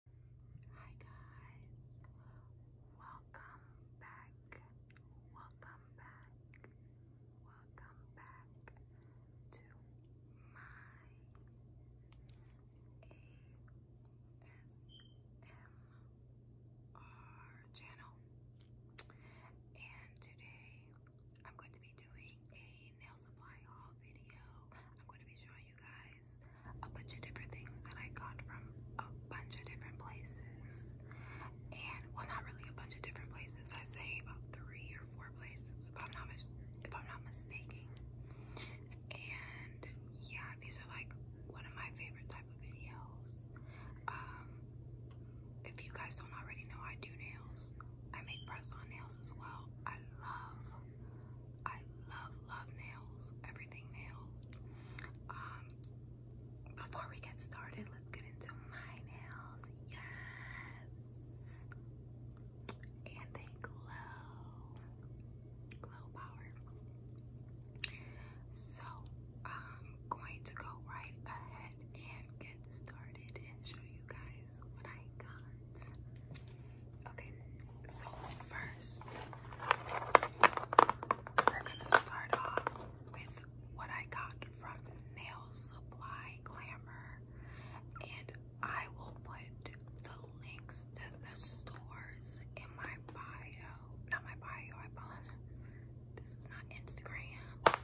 Hi guys, welcome back, welcome back, welcome back to my ASMR channel. And today I'm going to be doing a nail supply haul video. I'm going to be showing you guys guys a bunch of different things that I got from a bunch of different places. And well, not really a bunch of different places. I say about three or four places, if I'm not if I'm not mistaken. And yeah, these are like one of my favorite type of videos. Um, if you guys don't already know, I do nails. I make press-on nails as well. I love I love, love nails, everything nails. Um, before we get started, let's get into my nails. Yes, and they glow, glow power. So I'm going to go right ahead and get started and show you guys what I got. Okay, so first, we're gonna start off with what I got from Nail Supply Glamour, and I will put the links to the stores in my bio. Not my bio, I apologize. This is not Instagram.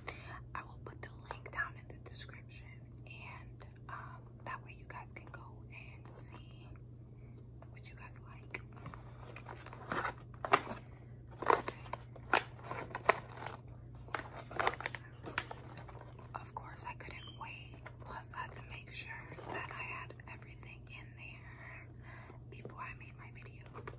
I will put the link down in the description and um, that way you guys can go and see what you guys like. Of course, I couldn't wait. Plus, I had to make sure that I had everything in there before I made my video. Okay.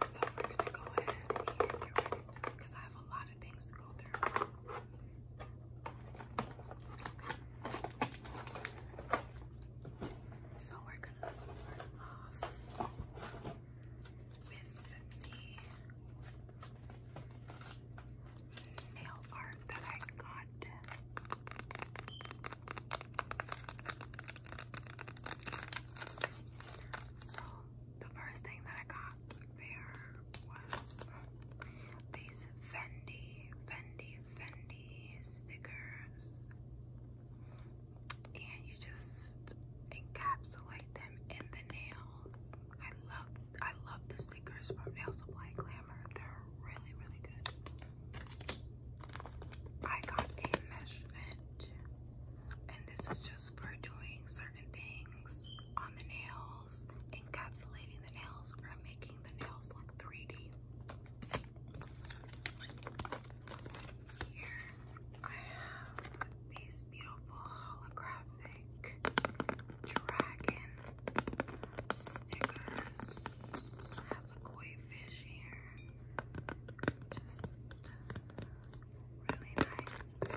So, we're gonna go ahead and because I have a lot so we're gonna start off with the nail art that I got. So the first thing that I got there was these Fendi, Fendi, Fendi stickers, and you just encapsulate them in the nails. I love, I love the stickers from Nail Supply Glamour. They're really, really good. I got a measurement, and this is just for doing certain things rings on the nails, encapsulating the nails, or making the nails look 3D. Here I have these beautiful holographic dragon stickers. It has a koi fish here. Just really nice. Then I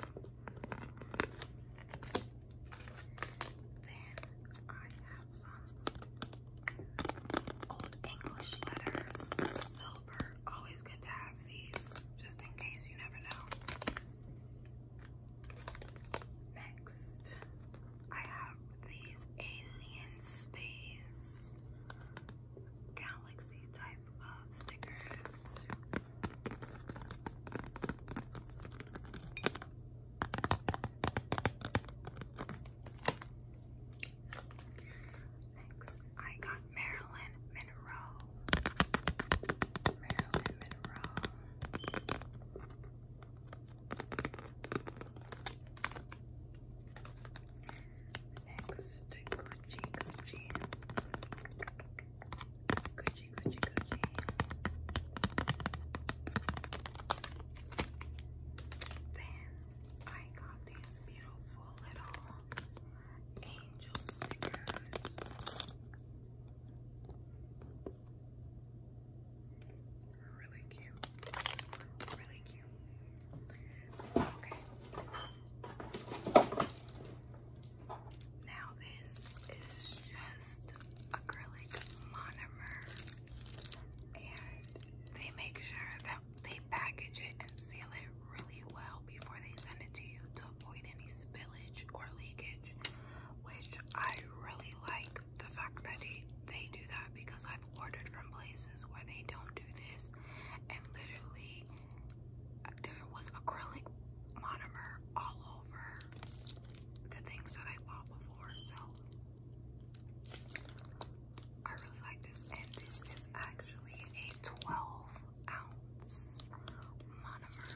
have some old English letters, silver. Always good to have these, just in case you never know. Next, I have these alien space galaxy type of stickers. Next, I got Marilyn Monroe. Marilyn Monroe. Next, Gucci, Gucci, Then I got these beautiful little angel stickers. Really cute. Really cute. Okay. Now this is just acrylic monomer and they make sure that they package it and seal it really well before they send it to you to avoid any spillage or leakage, which I really like the fact that they, they do that because I've ordered from places where they don't do this and literally there was acrylic monomer all over the things that I bought before, so I really like this. And this is actually a 12 ounce monomer.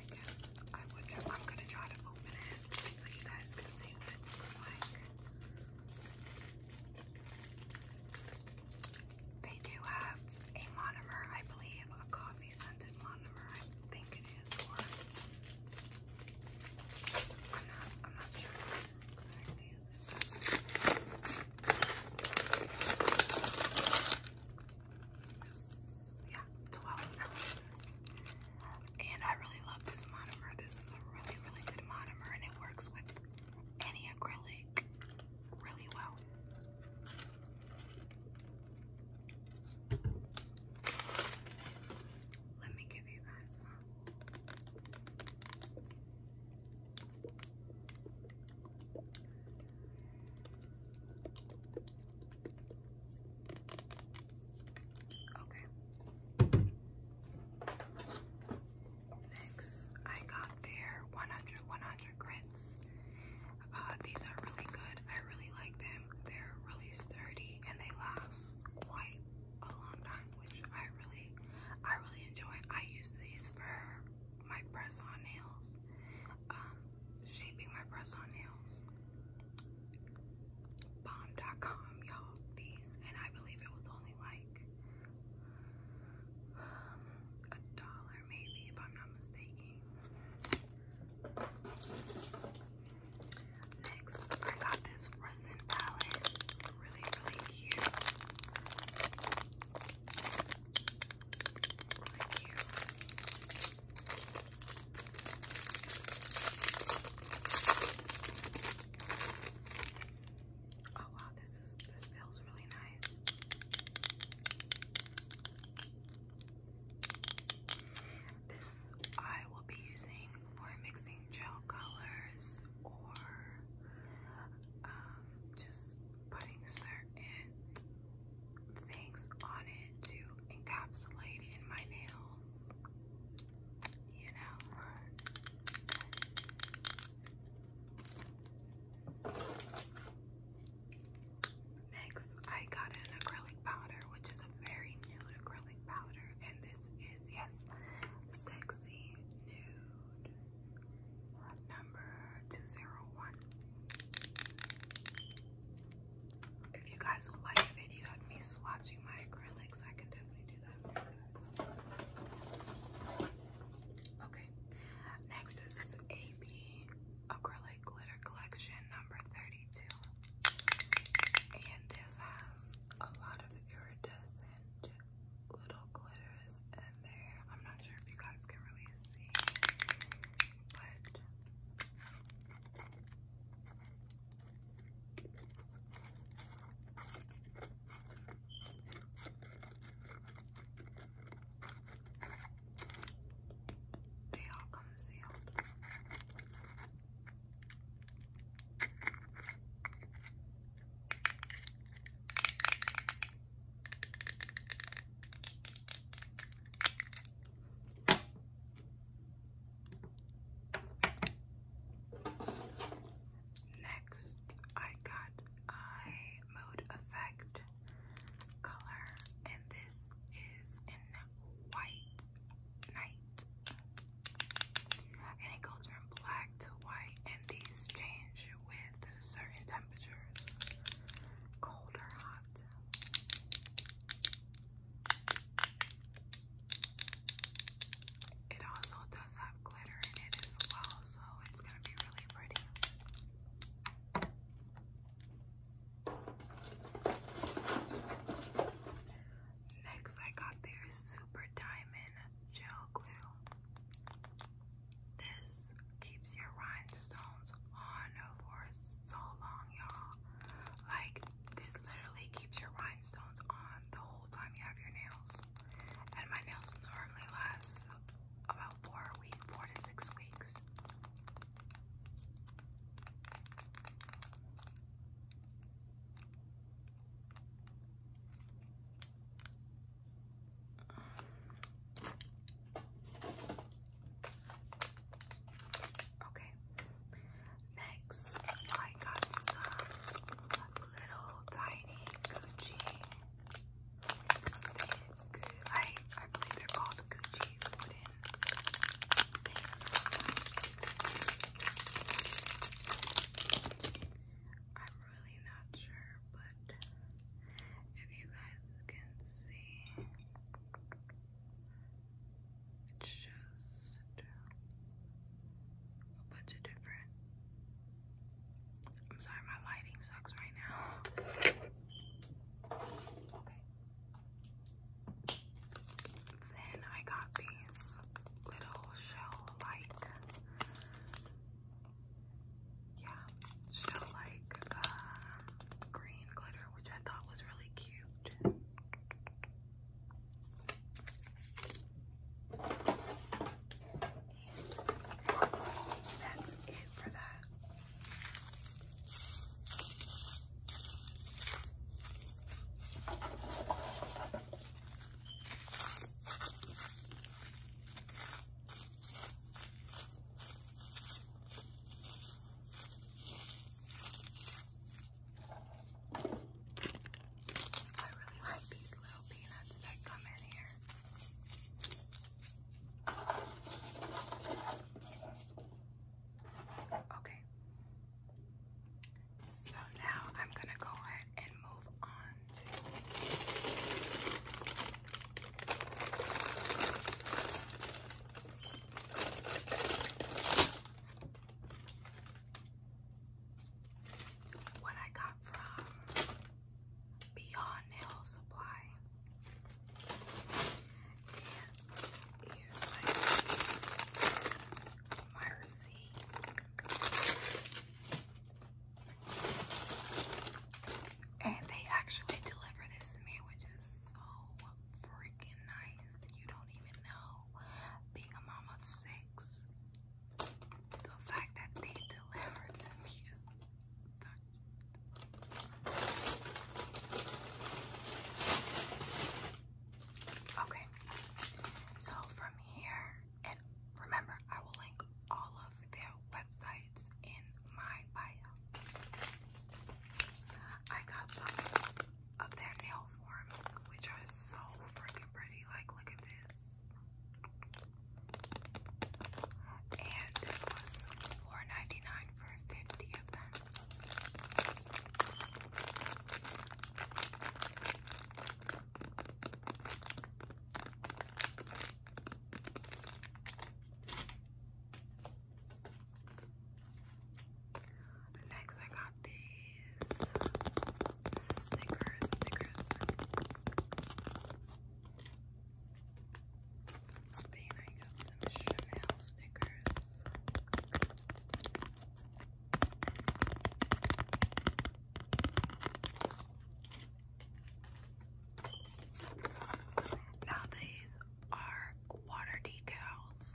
I guess I am gonna try to open it so you guys can see what it looks like. They do have a monomer, I believe, a coffee scented monomer, I think it is, or Yeah, 12 ounces. And I really love this monomer. This is a really, really good monomer and it works with any acrylic really well. Let me give you guys Okay. Next, I got their 100 100 grits. Uh, these are really good. I really like them. They're really sturdy and they last quite a long time, which I really, I really enjoy. I use these for my press-on nails, um, shaping my press-on nails. Bomb.com, y'all. These, and I believe it was only like a dollar maybe if I'm not mistaken. Next, I got this resin palette. Really, really cute. Really cute. Oh wow, this is this feels really nice. This I will be using for mixing gel colors or um, just putting certain things on it to encapsulate in my nails, you know. Next, I got an acrylic powder, which is a very nude acrylic powder, and this is yes, sexy nude number two zero one. If you guys would like a video of me swatching my acrylics, I can definitely do that. Okay, next is AB Acrylic Glitter Collection number 32. And this has a lot of iridescent little glitters in there. I'm not sure if you guys can really see, but. They all come sealed. Next, I got Eye Mode Effect color, and this is in White Night. And it goes from black to white, and these change with certain temperatures cold hot. It also does have glitter in it as well, Next, I got their Super Diamond Gel Glue. This keeps your rhinestones on for so long, y'all. Like, this literally keeps your rhinestones on the whole time you have your nails and my nails normally last about four weeks, four to six weeks. Okay, next I got some little tiny Gucci I I believe they're called Gucci wooden things. I'm really not sure, but if you guys can see, it's just a bunch of different I'm sorry, my lighting sucks right now. Then I got these little shell-like, yeah, shell-like uh, green glitter, which I thought was really cute. That's it for that. I really like these little peanuts that come in here. Okay. So now I'm going to go ahead and move on to what I got from Beyond Nail Supply. And And they actually deliver this to which is so freaking nice. You don't even know. Being a mom of six, the fact that they delivered to me is Okay, so from here, and remember, I will link all of their websites in my bio. I got some of their nail forms, which are so freaking pretty. Like, look at this. And this was $4.99 for 50 of them. Next, I got these Snickers, Snickers. Then I got some Chanel Snickers. Now these are water decals.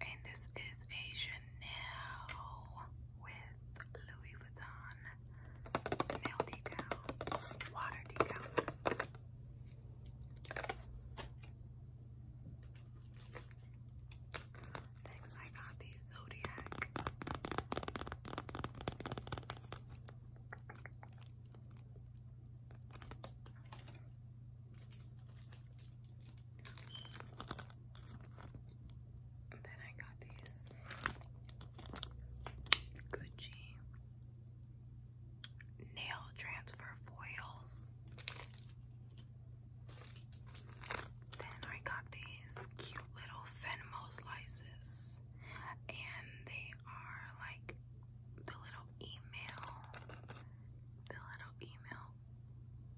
And this is a Chanel with with Louis Vuitton nail decal, water decal. Next, I got these Zodiac then I got these Gucci nail transfer foils. Then I got these cute little Venmo slices, and they are like the little email, the little email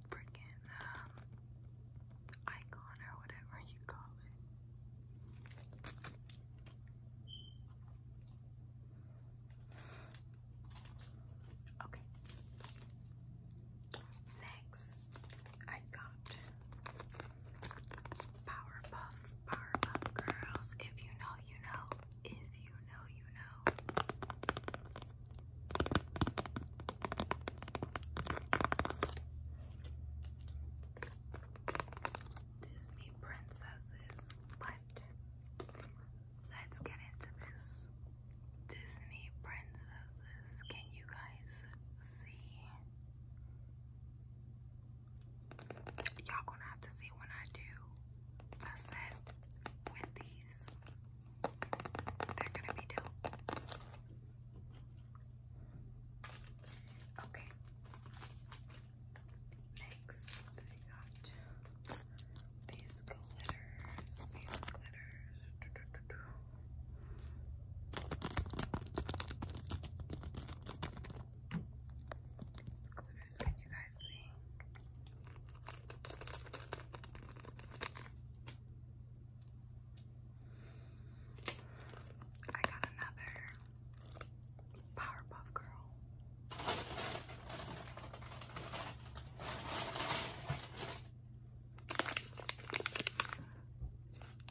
freaking um, icon or whatever you call it. Okay. Next, I got Powerpuff, Powerpuff Girls. If you know, you know. If you know, you know. Disney princesses, but let's get into this. Disney princesses, can you guys see? Y'all gonna have to see when I do a set with these. They're gonna be dope. Okay. Next, I got these glitters. glitters. glitters, can you guys see? I got another Powerpuff Girl.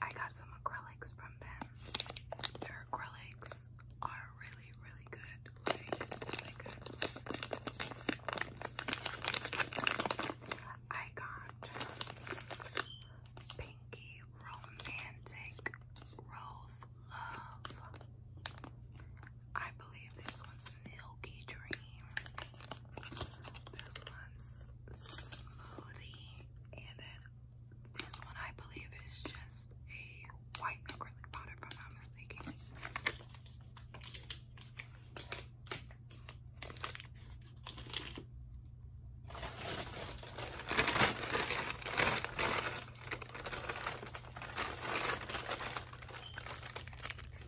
I got some acrylics from them. Their acrylics are really, really good. really good. I got Pinky Romantic Rose Love. I believe this one's Milky Dream. This one's Smoothie. And then this one I believe is just a white acrylic powder if I'm not mistaken.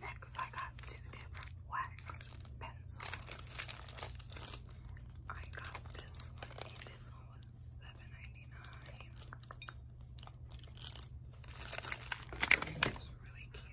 Next, I got two different wax pencils. I got this one, and this one was $7.99. It's really cute.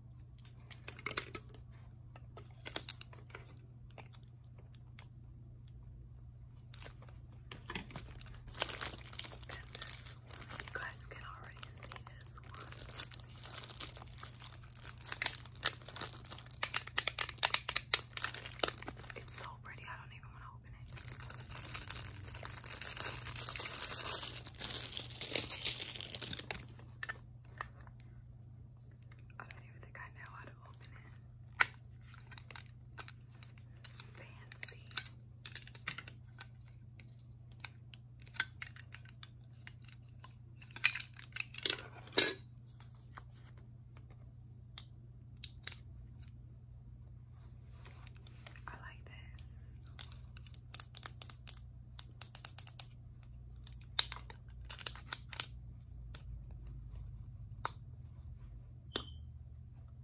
Goodness, you guys can already see this one. It's so pretty, I don't even want to open it. I don't even think I know how to open it. Fancy. I like this.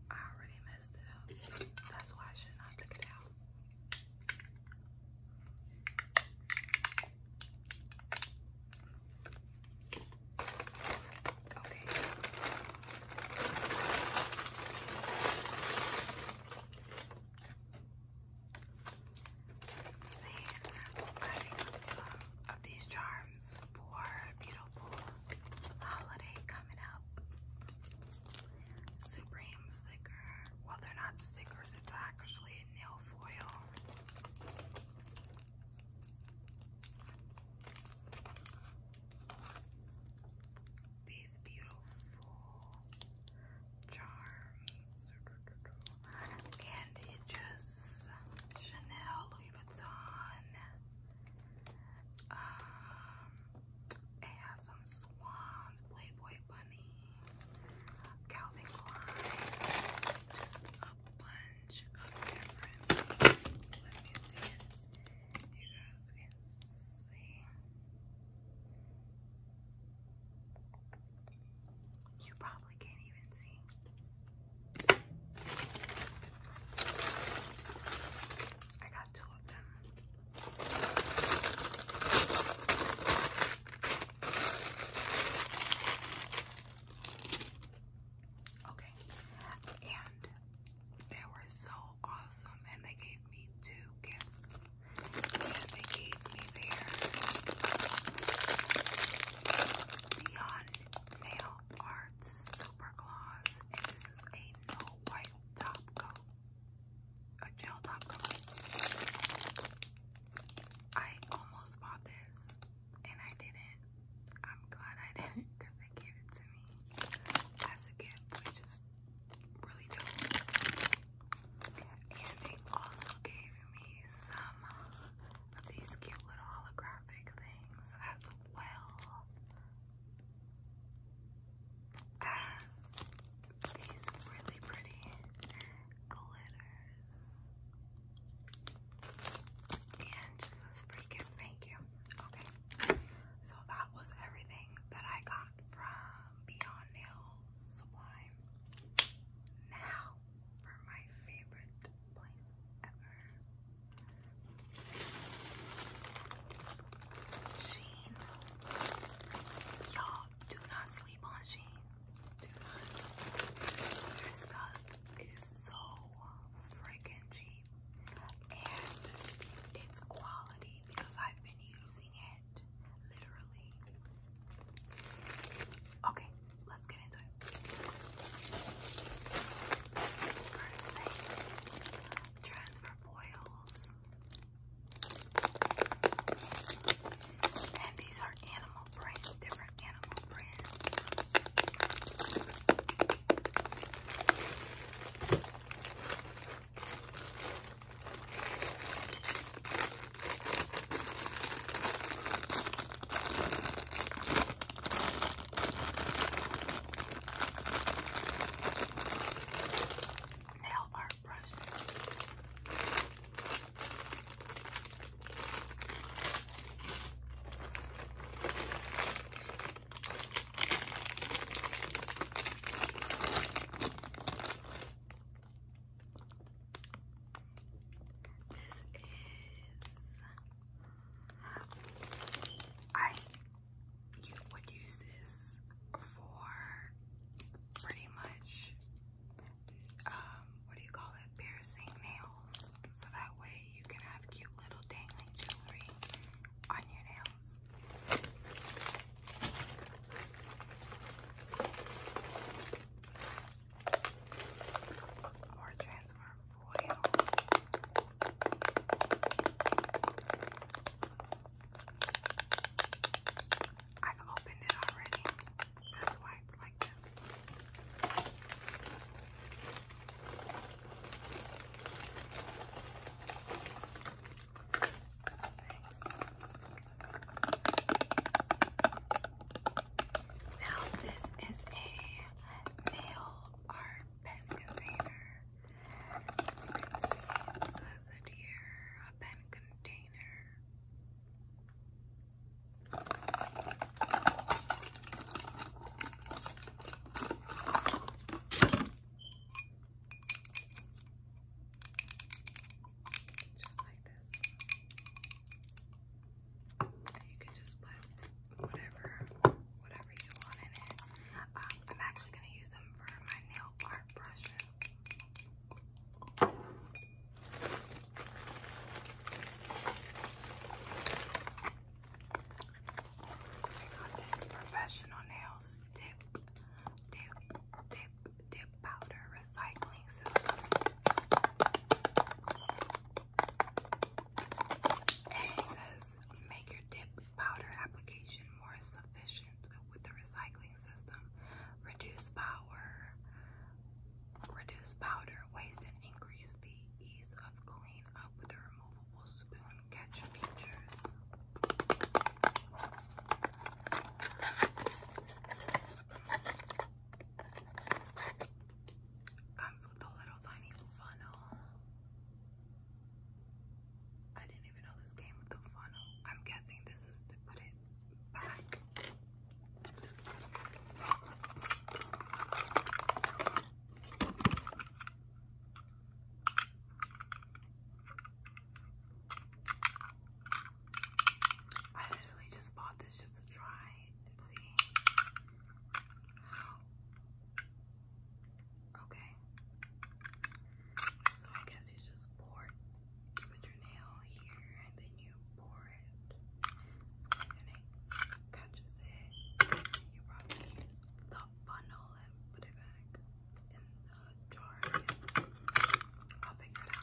I already messed it up. That's why I should not took it out. Okay. Then I got some of these charms for beautiful holiday coming up. Supreme sticker. Well, they're not stickers, it's actually nail foil these beautiful charms, and it just Chanel, Louis Vuitton. Um, it has some swans, Playboy bunny, Calvin Klein, just a bunch of different. Let me see it. You guys can see. You probably can't even see. I got two of them. Okay, and they were so awesome, and they gave me two gifts and they gave me their Nail Art Super Gloss, and this is a no white top coat, a gel top coat. I almost bought this, and I didn't. I'm glad I didn't they gave it to me as a gift, which is really do And they also gave me some of these cute little holographic things as well as these really pretty glitters. And just as freaking thank you. Okay. So that was everything that I got from Beyond Nails sublime. Now for my favorite place ever. Sheen. Y'all do not sleep on Sheen. Their stuff is so freaking cheap. And it's quality because I've been using it literally. Okay, let's get into it. transfer foils. And these are animal prints, different animal prints. Nail art brushes. This is I you would use this for pretty much um what do you call it piercing nails so that way you can have cute little dangling jewelry on your nails this. More transfer foil. I've opened it already. That's why it's like this. Now this is a nail art pen container. You can see it says it a pen container. Just like this. you can just put whatever, whatever you want in it. I'm actually gonna use them for my nail art brushes. got this professional nails tip, tip, tip, lip dip powder recycling system. And it says make your dip powder application more sufficient with the recycling system. Reduce power, reduce powder waste and increase the ease of clean up with the removable spoon catch features. Comes with a little tiny funnel. I didn't even know this came with a funnel. I'm guessing this is to put it back. I literally just bought this just to try and see Okay. So I guess you just pour put your nail here and then you pour it. And it catches it. You probably use the funnel and put it back in the jar. I guess. I'll figure it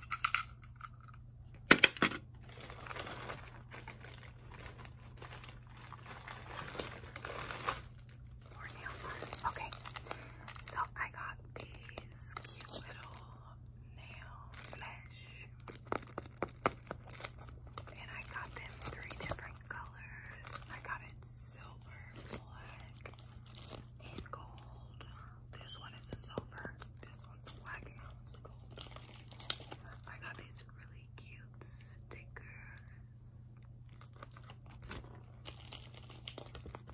out. More nail art. Okay, so I got these cute little nail mesh, and I got them three different colors. I got it silver, black, in gold. This one is a silver. This one's a black and that one's gold. I got these really cute stickers.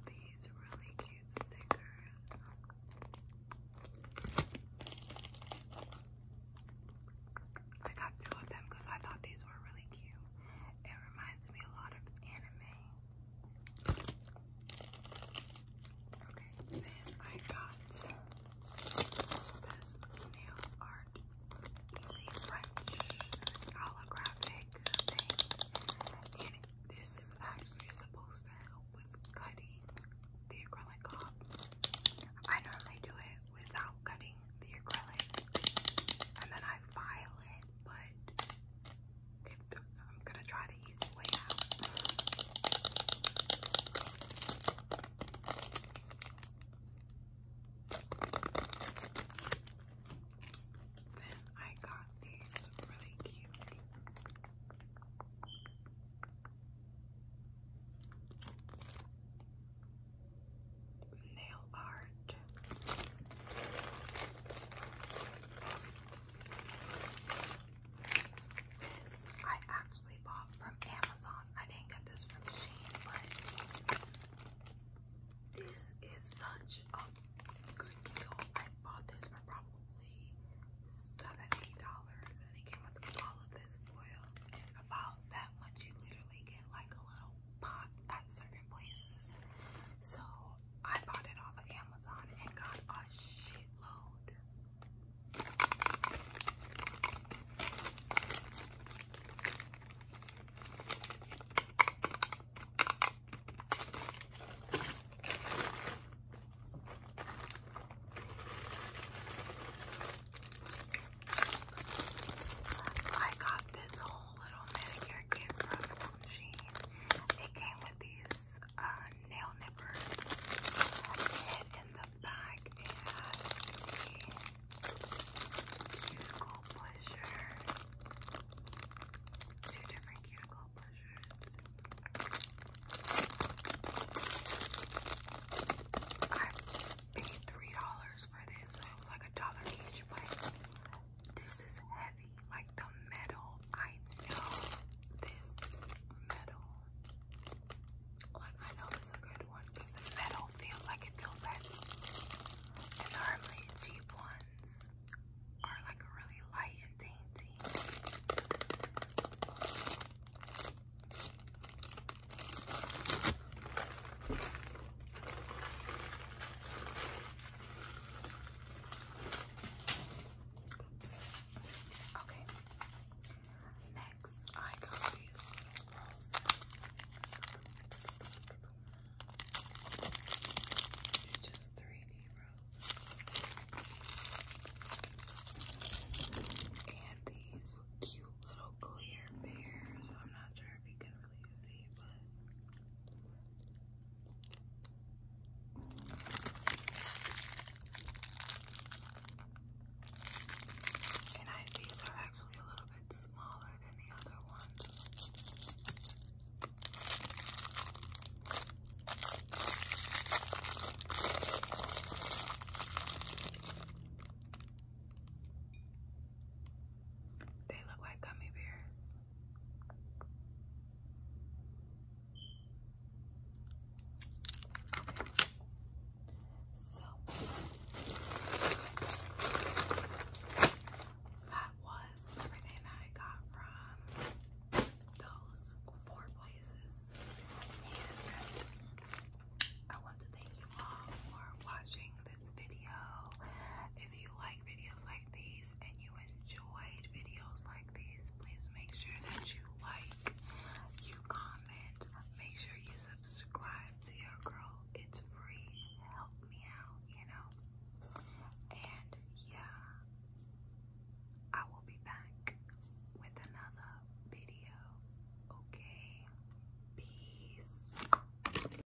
These really cute stickers. I got two of them because I thought these were really cute. It reminds me a lot of anime. Okay, then I got this nail art easy French holographic And this is actually supposed to help with cutting the acrylic off. I normally do it without cutting the acrylic and then I file it but I'm gonna try the easy way out. Then I got these really cute nail art. This I actually bought from Amazon. I didn't get this from Shein, but this is such a good deal. I bought this for probably seventy dollars, and it came with all of this foil. And about that much, you literally get like a little at certain places. So I bought it off of Amazon and got a shitload. I got this whole little manicure kit from Shein. It came with these uh, nail nippers. And in the back, it has the cuticle pleasure. Two different cuticle pleasures. I paid $3 for this, so it was like a dollar each, but this is heavy, like the metal. I know this metal. Like I know it's a good one because the metal feels like it feels heavy. And normally deep ones are like really light and dainty. Oops. Okay. Next, I got these little roses. They're just 3D roses. And these cute little clear bears. I'm not sure if you can exactly see, and these are actually a little bit smaller than the other ones. They look like gummy bears. So that was everything I got from those four places. I want to thank you all for watching this video. If you like videos like these and you enjoyed videos like these, please make sure that you like, you comment, make sure you subscribe to your girl. It's free. Help me out, you know. And yeah, I will be back with another video. Okay. Peace.